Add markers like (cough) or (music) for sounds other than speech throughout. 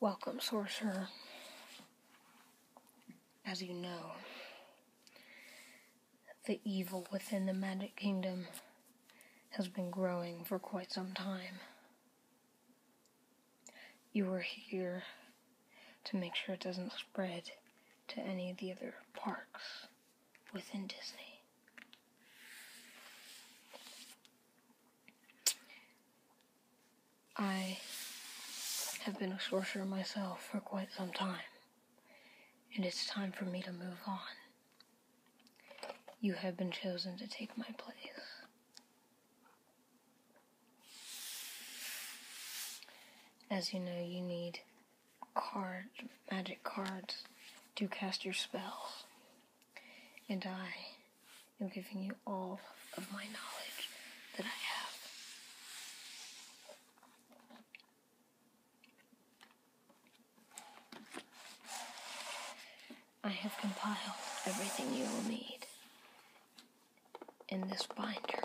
Welcome, Sorcerer. As you know, the evil within the Magic Kingdom has been growing for quite some time. You are here to make sure it doesn't spread to any of the other parks within Disney. I have been a sorcerer myself for quite some time, and it's time for me to move on. You have been chosen to take my place. As you know, you need card magic cards to cast your spells and I am giving you all of my knowledge that I have. I have compiled everything you will need in this binder.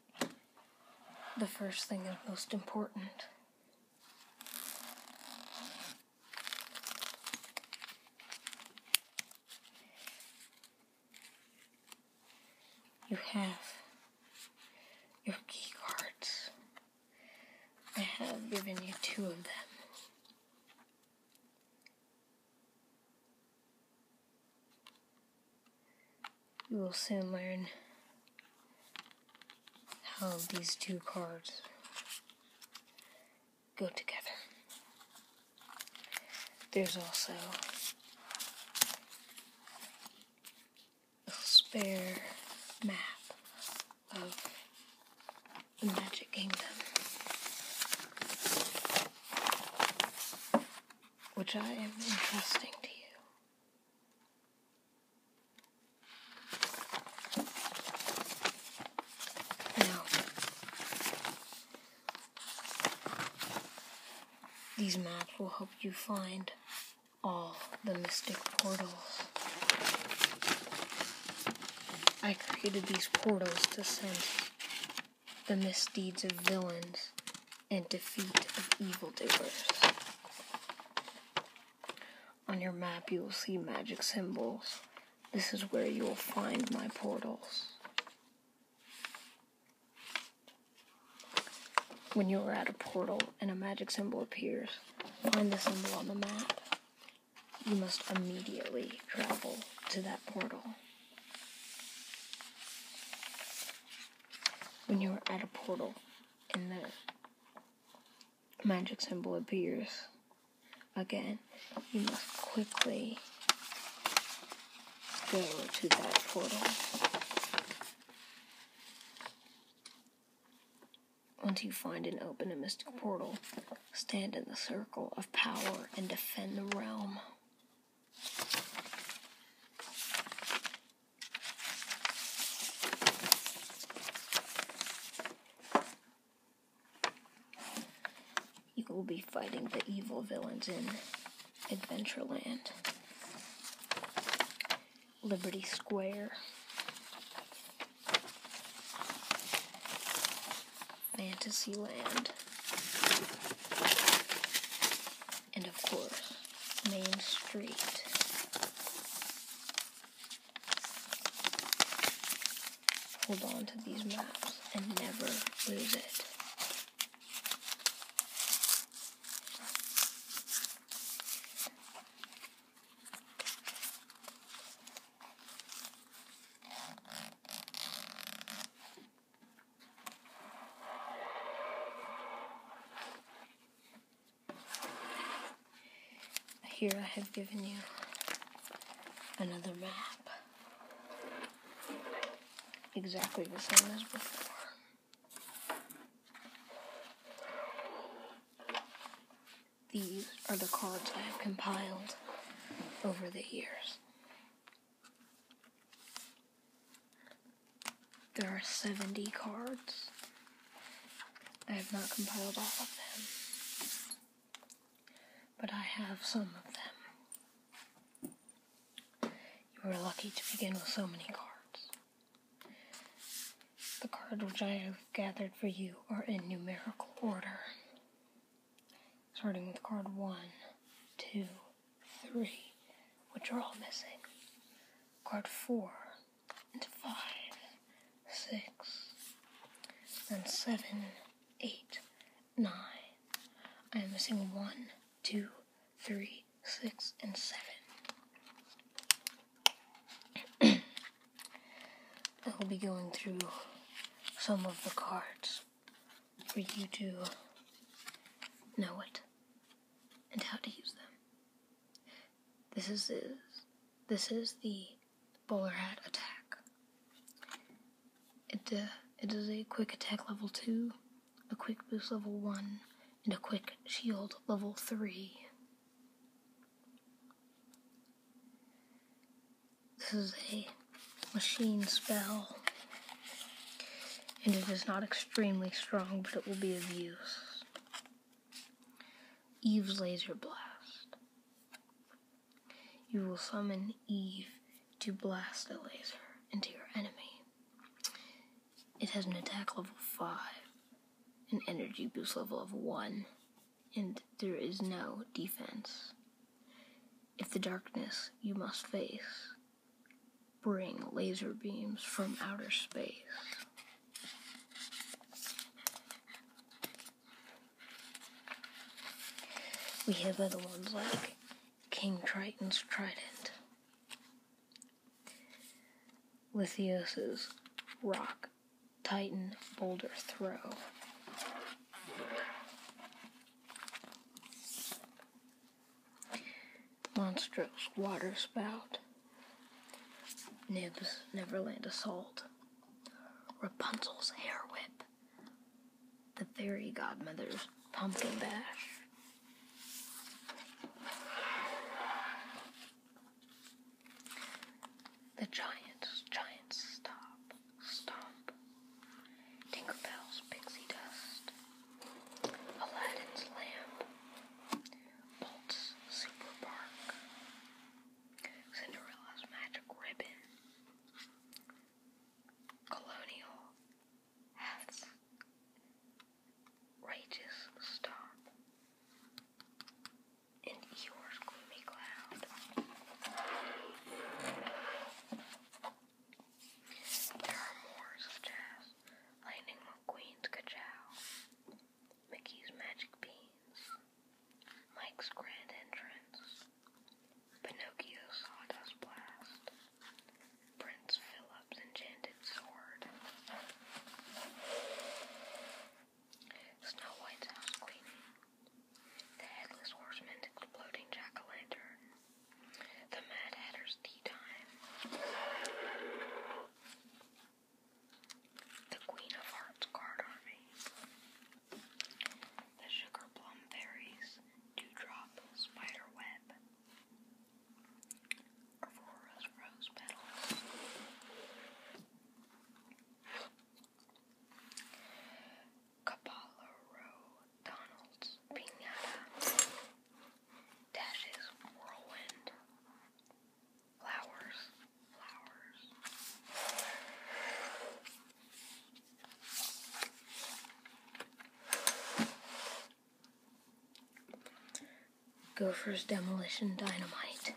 the first thing and most important. You have your key cards. I have given you two of them. You will soon learn how these two cards go together. There's also a spare map of the Magic Kingdom, which I am entrusting to you. Now, these maps will help you find all the mystic portals. I created these portals to send the misdeeds of villains and defeat of evildoers. On your map, you will see magic symbols. This is where you will find my portals. When you are at a portal and a magic symbol appears, find the symbol on the map. You must immediately travel to that portal when you're at a portal and the magic symbol appears again, you must quickly go to that portal. Once you find and open a mystic portal, stand in the circle of power and defend the realm. You will be fighting the evil villains in Adventureland, Liberty Square, Fantasyland and of course, Main Street. Hold on to these maps and never lose it. Here I have given you another map. Exactly the same as before. These are the cards I have compiled over the years. There are 70 cards. I have not compiled all of them, but I have some of them. You were lucky to begin with so many cards. The cards which I have gathered for you are in numerical order, starting with card 1, 2, three, which are all missing. Card four, and five, six, and seven, eight, nine. I am missing one, two, three, six, and seven. (clears throat) I will be going through some of the cards for you to know it and how to use them. This is this is the bowler hat attack. Uh, it is a quick attack level two, a quick boost level one, and a quick shield level three. This is a machine spell and it is not extremely strong, but it will be of use. Eve's Laser Blast. You will summon Eve to blast a laser into your enemy. It has an attack level 5, an energy boost level of 1, and there is no defense. If the darkness you must face bring laser beams from outer space. We have other ones like King Triton's Trident, Lithios's Rock Titan Boulder Throw monstrous water spout, Nib's Neverland assault, Rapunzel's hair whip, the fairy godmother's pumpkin bash. The giants, giants, stop, stop. Tinkerbell's pixie dust, Aladdin's Lamp, Bolt's Super Park, Cinderella's Magic Ribbon, Colonial Hats, Rage's Stop, and Eeyore's Gloomy Cloud. There are more, such as Lightning McQueen's Kachow, Mickey's Magic Beans, Mike's Grand Entrance, Pinocchio's Sawdust Blast, Prince Philip's Enchanted Sword, Snow White's House Cleaning, The Headless Horseman's Exploding Jack-O'-Lantern, the Mad Hatter's Tea Time. The Queen of Hearts Card Army. The Sugar Plum Fairies. Dewdrop Spider Aurora's Rose Petals. Kabbalah Row Donald's Pinata Dashes Whirlwind Flowers Flowers Gopher's Demolition Dynamite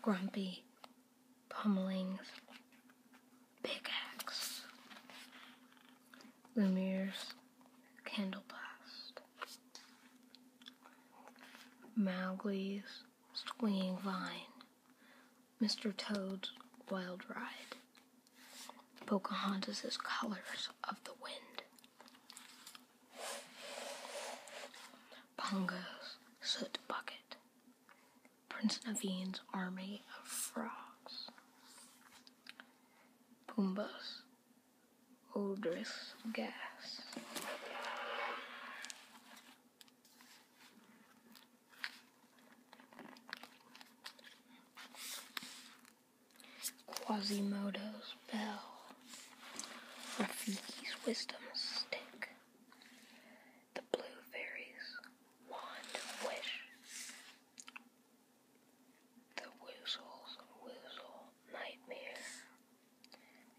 Grumpy Pummelings Big Axe, Lumiere's candle blast, Mowgli's Swinging Vine, Mr. Toad's Wild Ride, Pocahontas' Colors of the Wind, Pongo's Soot Bucket, Prince Naveen's army of frogs. Pumbaa's odorous gas. Quasimodo's bell. Rafiki's wisdom stick. The blue fairies. One wish. The Woozle's Woozle Nightmare.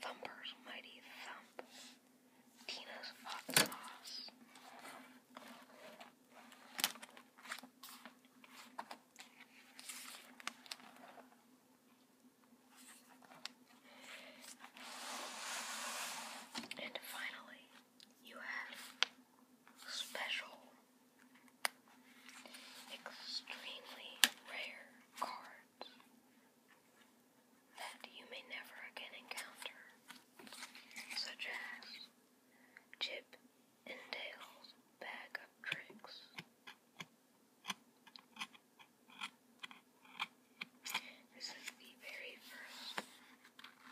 Thumper's Mighty Thump. Tina's Hot Sauce. And finally, you have special, extremely rare cards that you may never again encounter, such as Chip and Dale's Bag of Tricks. This is the very first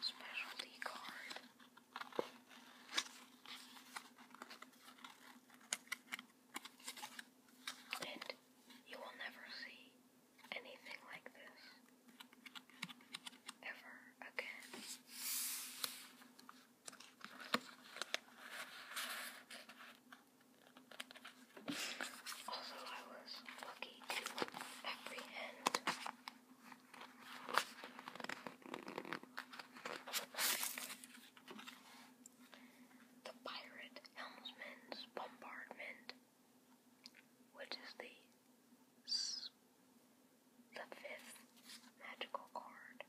specialty card and you will never see anything like this ever again. Also, I was lucky to apprehend the pirate helmsman's bombardment, which is the the fifth magical card.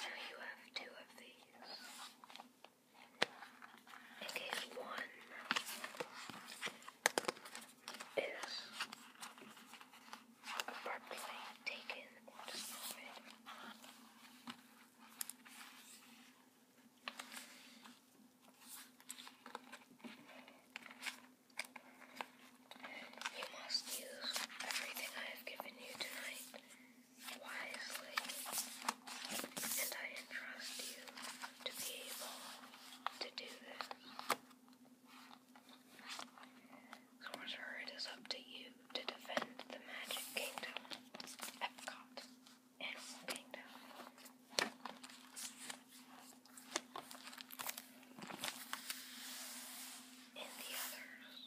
Now you have two of these. In case one is abruptly taken into orbit. You must use everything I have given you tonight wisely, and I entrust you to be able to do this. Sorcerer, it is up to you to defend the Magic Kingdom, Epcot, Animal Kingdom. And the others.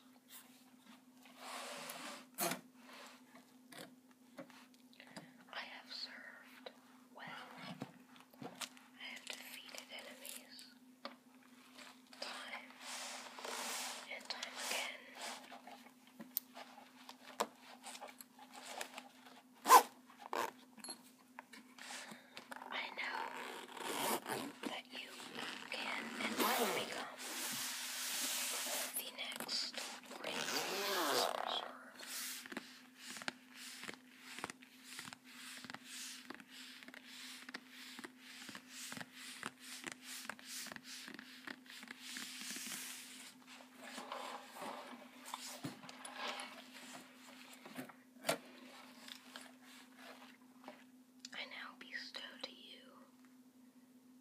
I have served well I have defeated enemies time and time again. I know that you can and will become the next great I now bestow to you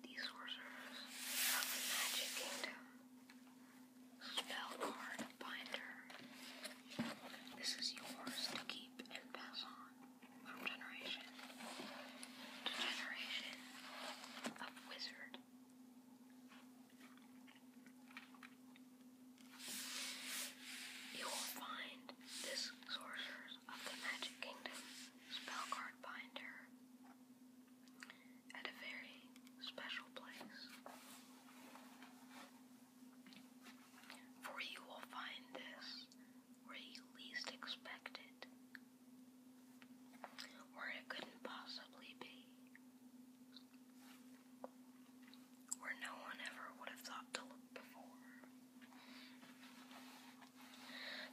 these sorcerers of the spell card binder. This is yours to keep and pass on from generation to generation of wizard. You will find this Sorcerers of the Magic Kingdom spell card binder at a very special place. For you will find this where you least expect it, where it couldn't possibly be, where no one ever would have thought to look before.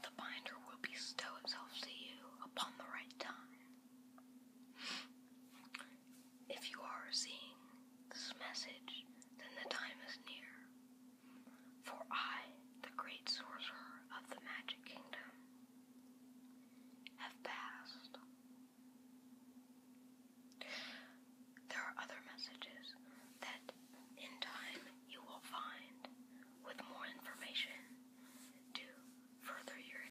The binder will bestow itself to you upon the right time. If you are seeing this message, then the time is near. For I, the great sorcerer of the Magic Kingdom, have passed. There are other messages that in time you will find with more information to further your